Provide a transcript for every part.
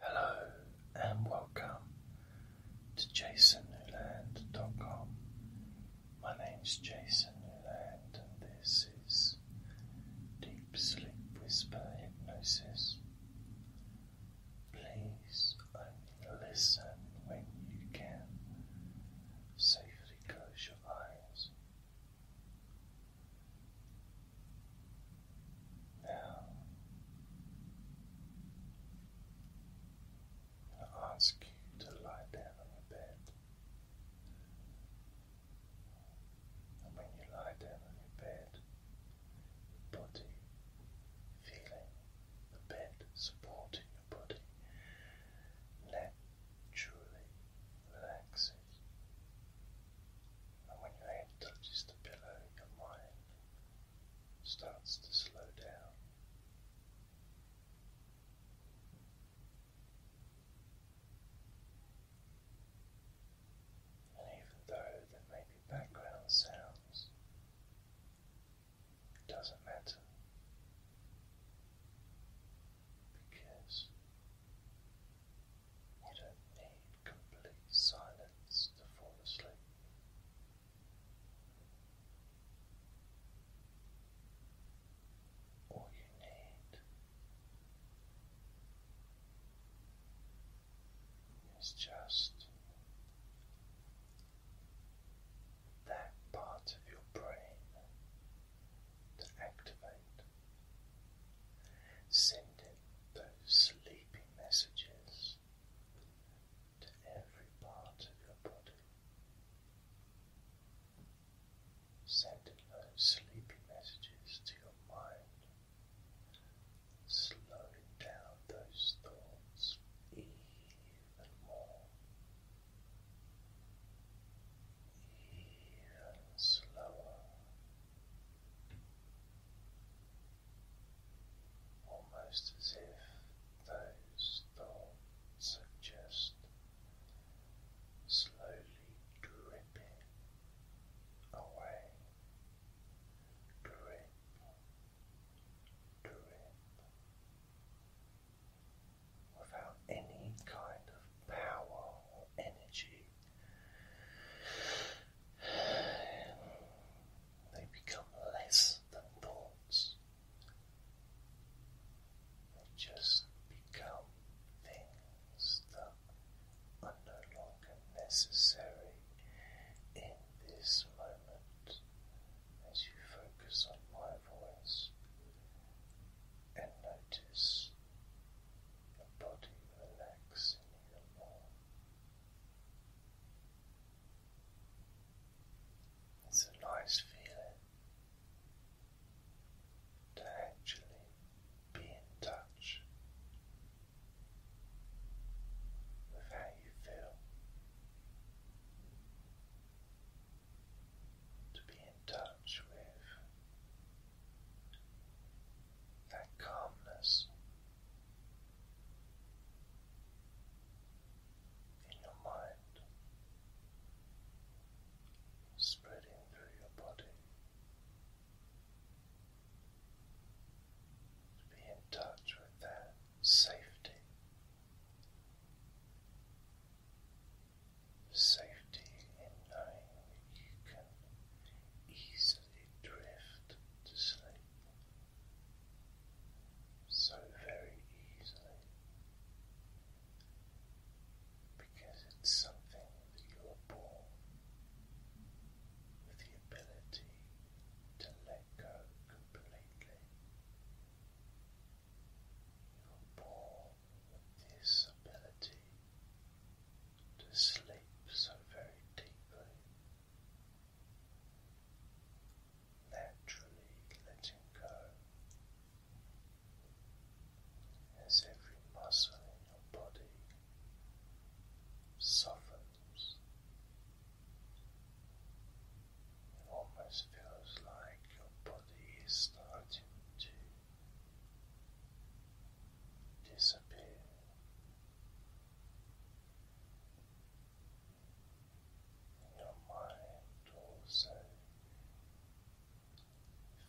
Hello and welcome to JasonNewland.com. My name's Jason Newland and this is Deep Sleep Whisper Hypnosis. Please only listen when you can. Safely close your eyes. Now, i ask you to lie down on your bed. And when you lie down on your bed, your body feeling the bed supporting your body naturally relaxes. And when your hand touches the pillow, your mind starts to slow down. And even though there may be background sounds, it doesn't matter because you don't need complete silence to fall asleep. All you need is just that part of your brain to activate, sending those sleepy messages to every part of your body, sending those sleepy messages to your mind, slowing down those thoughts even more, even slower almost as if those thoughts suggest slowly dripping away. Drip, drip, without any kind of power or energy they become less than thoughts. They just become things that are no longer necessary in this moment as you focus on my voice and notice your body relaxing even more. It's a nice feeling to actually be in touch with how you feel, to be in touch with that calmness in your mind, spreading through your body, to be in touch with that safety. Safety in knowing that you can easily drift to sleep so very easily because it's something that you are born with the ability to let go completely. You are born with this ability to sleep so very deeply. Naturally letting go as every muscle in your body softens. It almost feels like your body is starting to disappear. Your mind also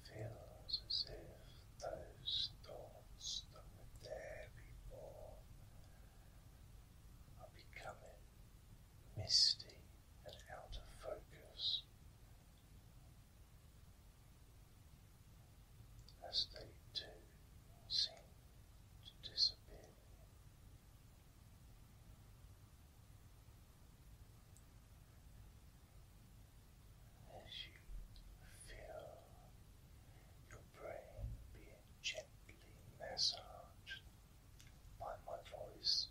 feels as if those thoughts that were there before are becoming misty and out of focus as they too seem to disappear. As you feel your brain being gently massaged by my voice,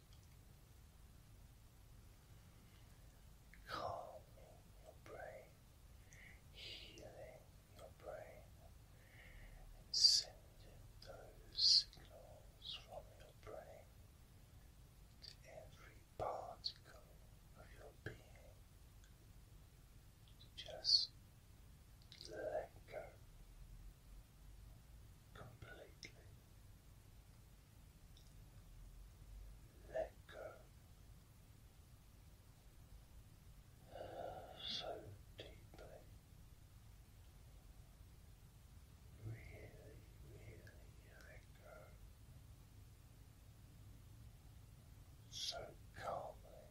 calming your brain healing your brain and sending those signals from your brain to every particle of your being to just let go completely. Let go so deeply, really, really let go, so calmly.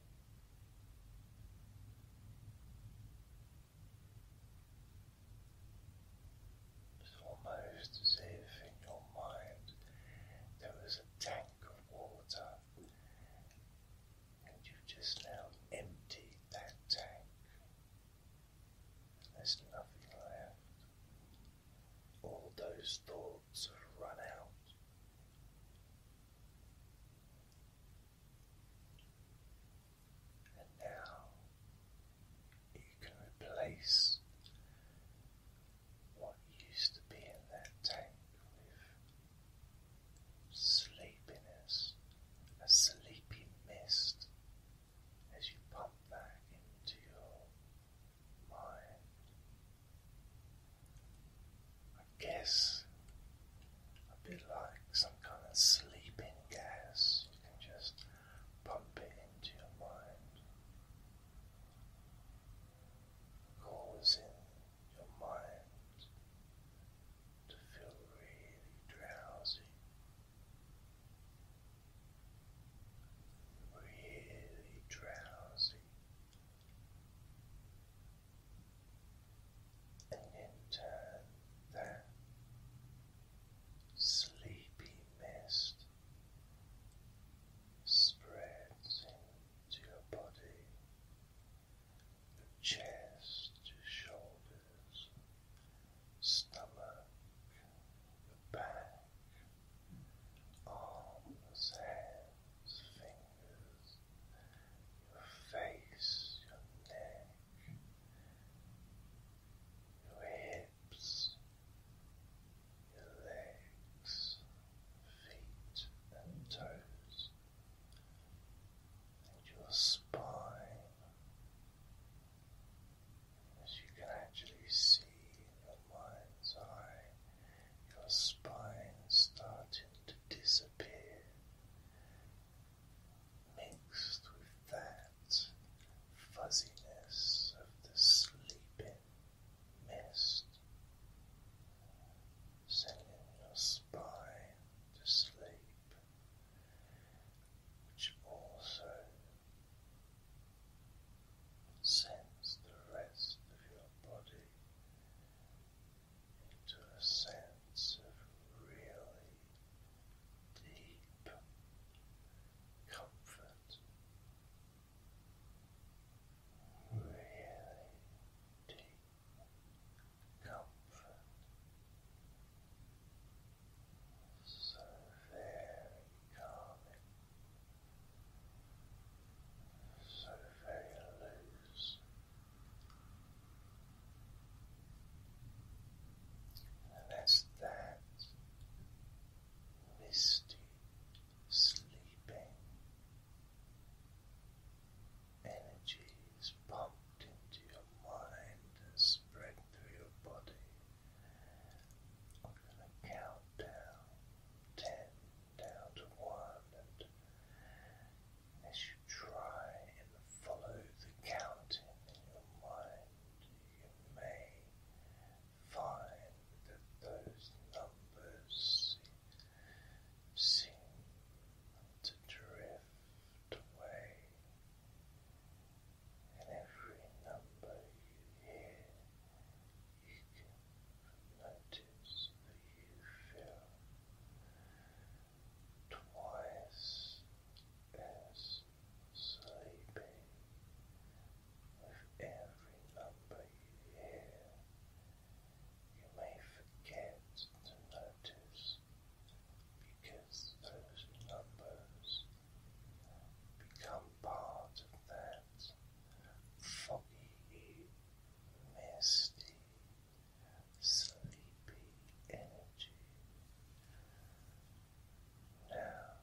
It's almost as if in your mind there was a tank of water and you just now emptied that tank. There's nothing left. All those thoughts have run out. And now you can replace what used to be in that tank sleepiness, a sleepy mist as you pump back into your mind. I guess a bit like some kind of sleeping gas, you can just pump it into your mind. Causing your mind to feel really drowsy, really drowsy, and then turn that sleepy mist. Spreads into your body chest to shoulders, stomach, the back, arms, hands, fingers, your face, your neck, your hips, your legs, feet and toes your spine as you can actually see in your mind's eye your spine starting to disappear mixed with that fuzziness of the sleeping mist sending your spine to sleep, which also sends the rest of your body into a sense of really deep comfort. Really deep comfort so very calming, so very loose. And as that misty sleeping energy is pumped into your mind and spread through your body. I'm going to count down ten down to one, and as you try and follow the counting in your mind, you may find that those numbers seem to drift away, and every number you hear, you notice that you feel twice as sleepy with every number you hear you may forget to notice because those numbers become part of that foggy, misty, sleepy energy. Now,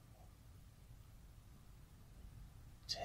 ten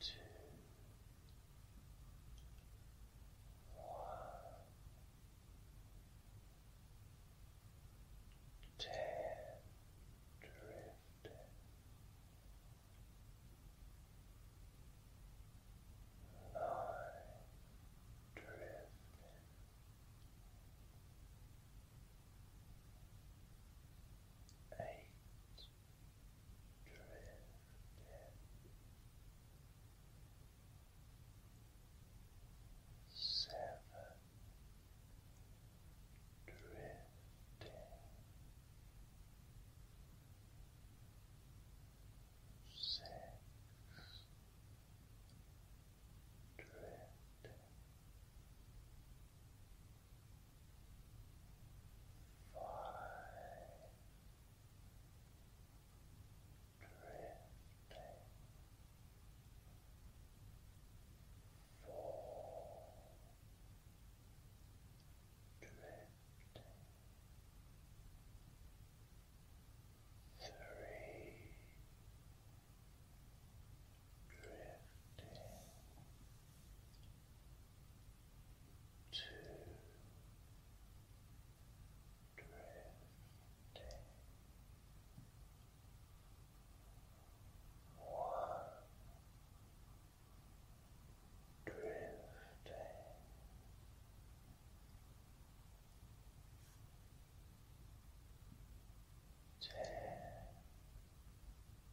two, one, ten, drifting. Nine drifting eight drifting seven drifting six drifting drifting four drifting three drifting to drifting one drifting Ten,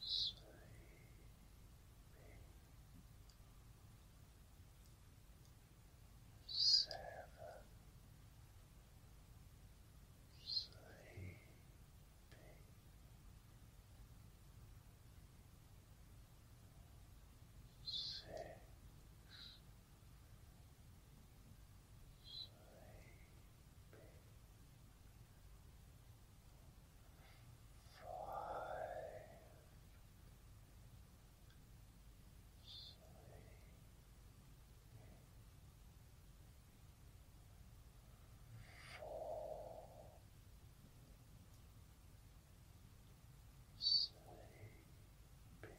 sleeping, seven, sleeping. Six, sleeping, five, three, four, sleepy, three.